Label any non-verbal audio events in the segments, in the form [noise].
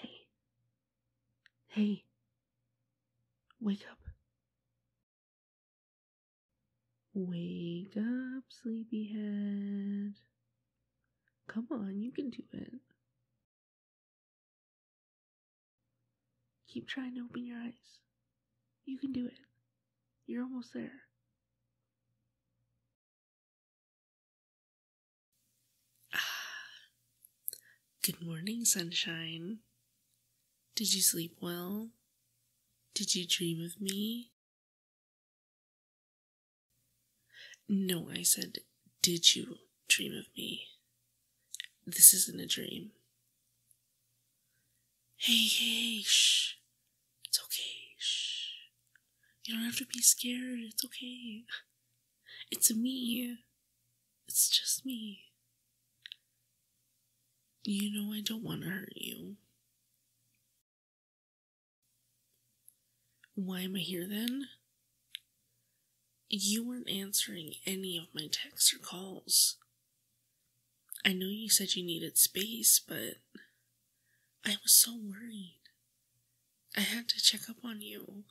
Hey. Hey. Wake up. Wake up, sleepyhead. Come on, you can do it. Keep trying to open your eyes. You can do it. You're almost there. [sighs] Good morning, sunshine. Did you sleep well? Did you dream of me? No, I said, did you dream of me? This isn't a dream. Hey, hey, shh. It's okay. Shh. You don't have to be scared. It's okay. It's me. It's just me. You know, I don't want to hurt you. Why am I here then? You weren't answering any of my texts or calls. I know you said you needed space, but I was so worried. I had to check up on you.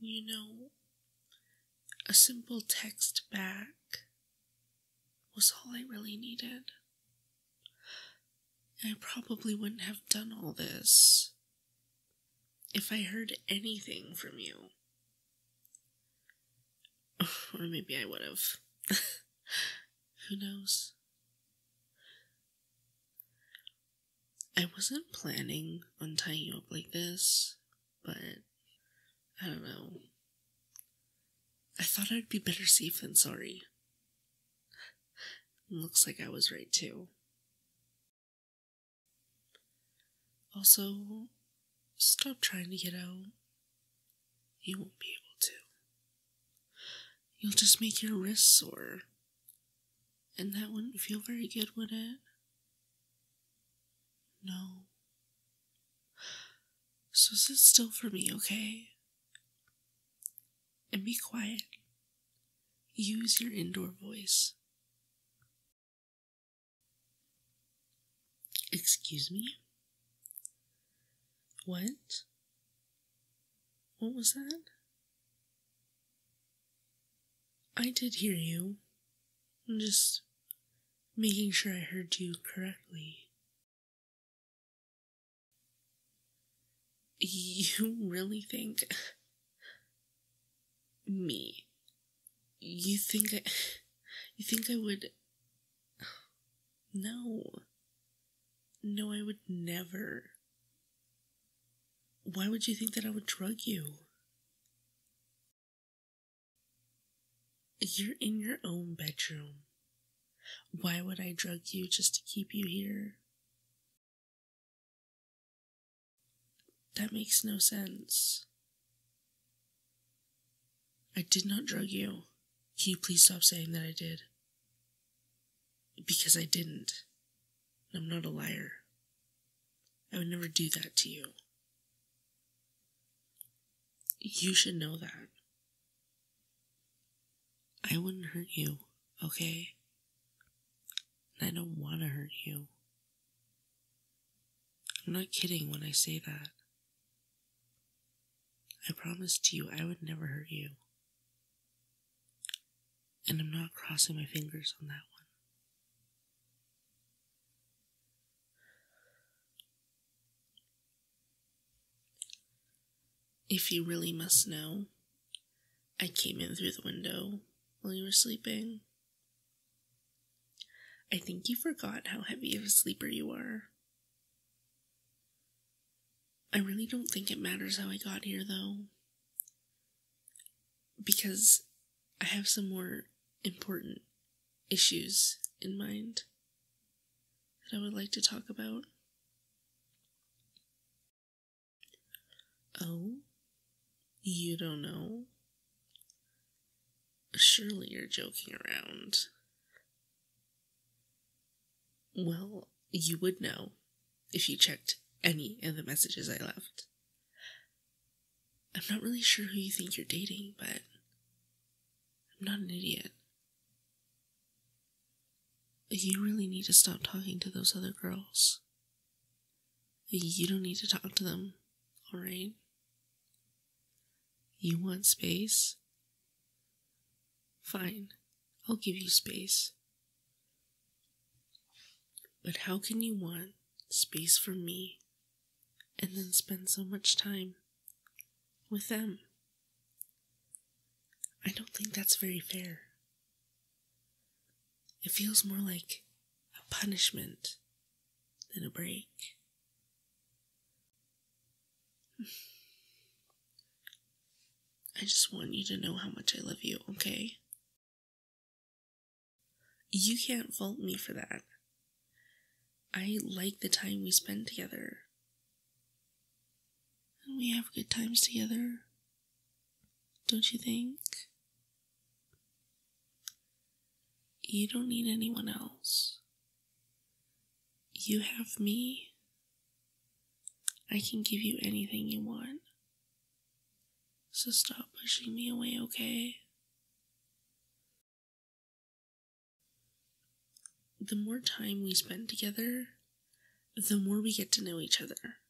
You know, a simple text back was all I really needed. I probably wouldn't have done all this if I heard anything from you. [sighs] Or maybe I would have. [laughs] Who knows? I wasn't planning on tying you up like this, but I don't know. I thought I'd be better safe than sorry. [laughs] Looks like I was right too. Also, Stop trying to get out. You won't be able to. You'll just make your wrists sore. And that wouldn't feel very good, would it? No. So sit still for me, okay? And be quiet. Use your indoor voice. Excuse me? What? What was that? I did hear you. I'm just making sure I heard you correctly. You really think [laughs] me you think I. You think I would. No. No, I would never. Why would you think that I would drug you? You're in your own bedroom. Why would I drug you just to keep you here? That makes no sense. I did not drug you. Can you please stop saying that I did? Because I didn't. I'm not a liar. I would never do that to you. You should know that. I wouldn't hurt you, okay? I don't want to hurt you. I'm not kidding when I say that. I promised you I would never hurt you. And I'm not crossing my fingers on that one. If you really must know, I came in through the window while you were sleeping. I think you forgot how heavy of a sleeper you are. I really don't think it matters how I got here, though, because I have some more important issues in mind that I would like to talk about. Oh, you don't know Surely you're joking around. Well, you would know if you checked any of the messages I left. I'm not really sure who you think you're dating, but I'm not an idiot. You really need to stop talking to those other girls. You don't need to talk to them, alright? You want space? Fine, I'll give you space. But how can you want space from me and then spend so much time with them? I don't think that's very fair. It feels more like a punishment then a break. I just want you to know how much I love you, okay? You can't fault me for that. I like the time we spend together. And we have good times together. Don't you think? You don't need anyone else. You have me. I can give you anything you want. So stop pushing me away, okay? The more time we spend together, the more we get to know each other.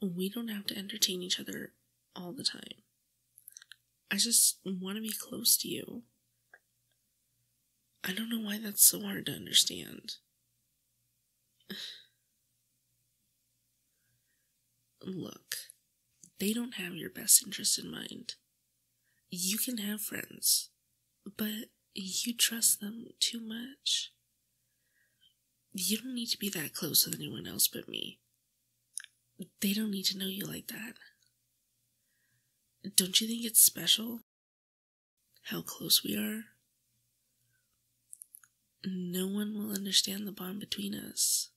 We don't have to entertain each other all the time. I just want to be close to you. I don't know why that's so hard to understand. [sighs] Look, they don't have your best interest in mind. You can have friends, but you trust them too much. You don't need to be that close with anyone else but me. They don't need to know you like that. Don't you think it's special? How close we are? No one will understand the bond between us.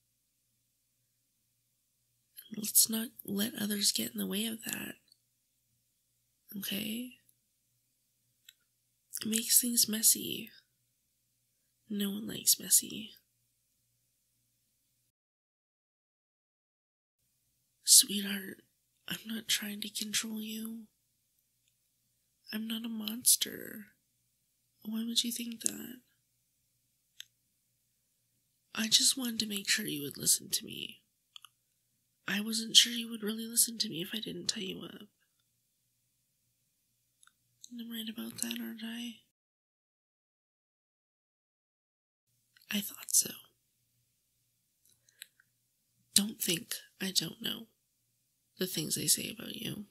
Let's not let others get in the way of that. Okay? It makes things messy. No one likes messy. Sweetheart, I'm not trying to control you. I'm not a monster. Why would you think that? I just wanted to make sure you would listen to me. I wasn't sure you would really listen to me if I didn't tell you up. I'm right about that, aren't I? I thought so. Don't think I don't know the things they say about you.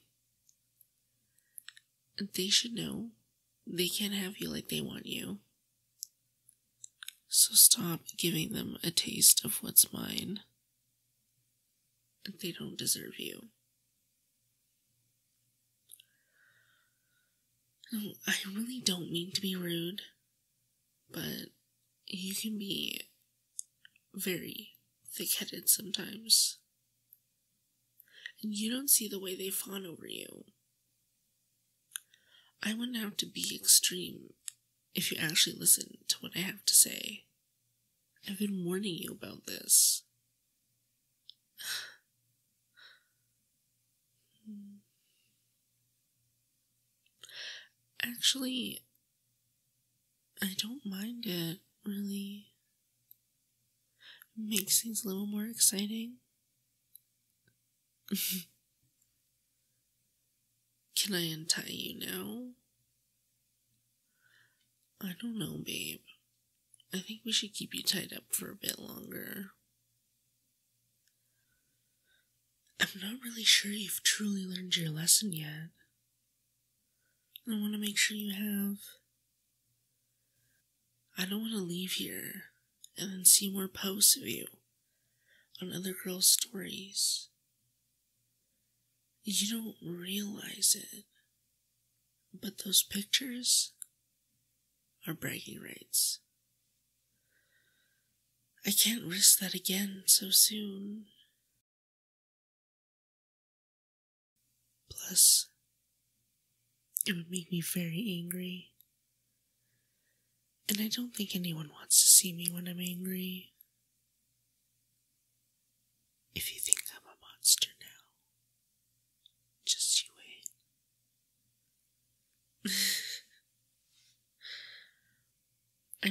They should know they can't have you like they want you. So stop giving them a taste of what's mine. They don't deserve you. I really don't mean to be rude, but you can be very thick headed sometimes. And you don't see the way they fawn over you. I wouldn't have to be extreme if you actually listen to what I have to say. I've been warning you about this. [sighs] Actually, I don't mind it, really. makes things a little more exciting. [laughs] Can I untie you now? I don't know, babe. I think we should keep you tied up for a bit longer. I'm not really sure you've truly learned your lesson yet. I want to make sure you have. I don't want to leave here and then see more posts of you on other girls' stories. You don't realize it, but those pictures are breaking rights. I can't risk that again so soon. Plus, it would make me very angry. And I don't think anyone wants to see me when I'm angry. If you think I'm a monster now, just you wait.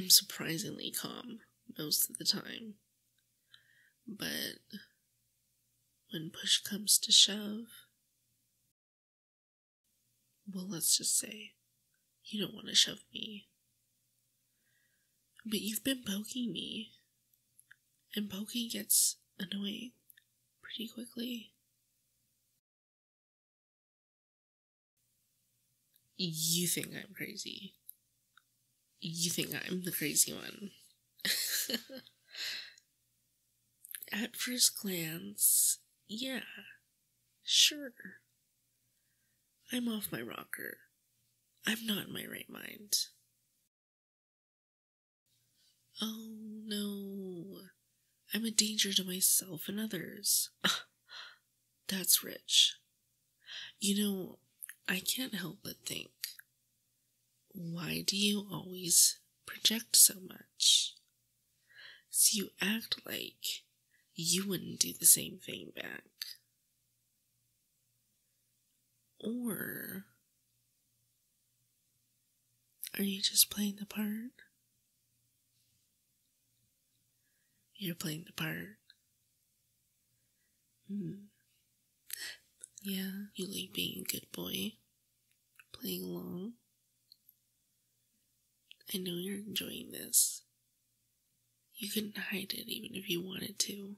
[laughs] I'm surprisingly calm most of the time, but when push comes to shove, well, let's just say you don't want to shove me. But you've been poking me. And poking gets annoying pretty quickly. You think I'm crazy. You think I'm the crazy one. [laughs] At first glance, yeah, sure. I'm off my rocker. I'm not in my right mind. Oh no. I'm a danger to myself and others. [laughs] That's rich. You know, I can't help but think why do you always project so much? So you act like you wouldn't do the same thing back. Or are you just playing the part? You're playing the part. Mm. Yeah, you like being a good boy, playing along. I know you're enjoying this. You couldn't hide it even if you wanted to.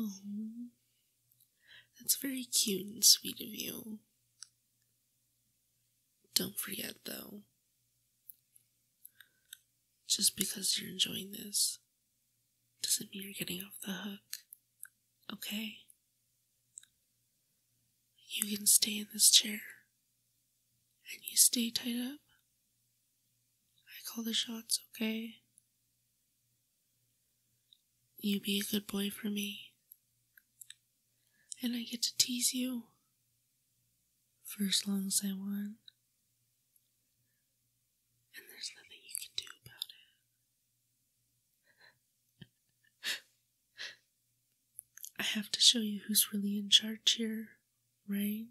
Oh, that's very cute and sweet of you. Don't forget, though, just because you're enjoying this doesn't mean you're getting off the hook, okay? You can stay in this chair. And you stay tied up. I call the shots, okay? You be a good boy for me. And I get to tease you for as long as I want. And there's nothing you can do about it. I have to show you who's really in charge here, right?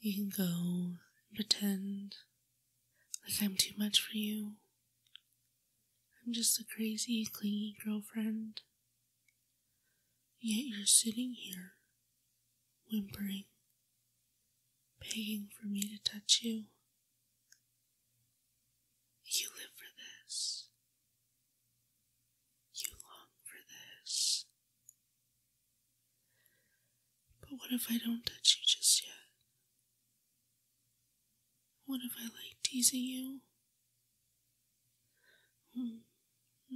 You can go and pretend like I'm too much for you. I'm just a crazy, clingy girlfriend. Yet you're sitting here, whimpering, begging for me to touch you. You live for this. You long for this. But what if I don't touch you just yet? What if I like teasing you? Hmm.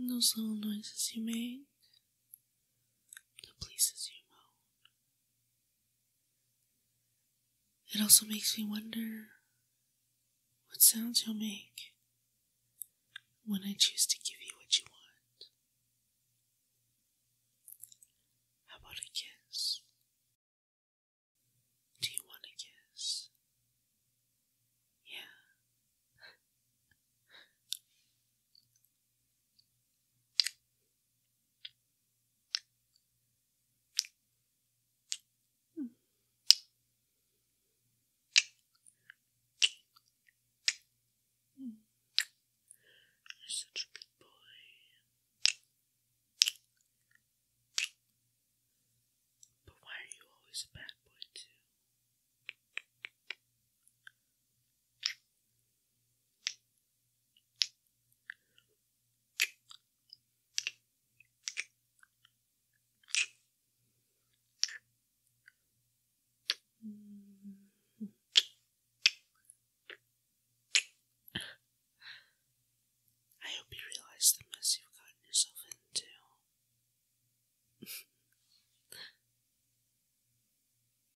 those little noises you make, the places you moan, it also makes me wonder what sounds you'll make when I choose to give you what you want. How about a kiss? Do you want a kiss? Yeah. Hmm. You're such a good boy. But why are you always a bad boy, too? I hope you realize the mess you've gotten yourself into. [laughs]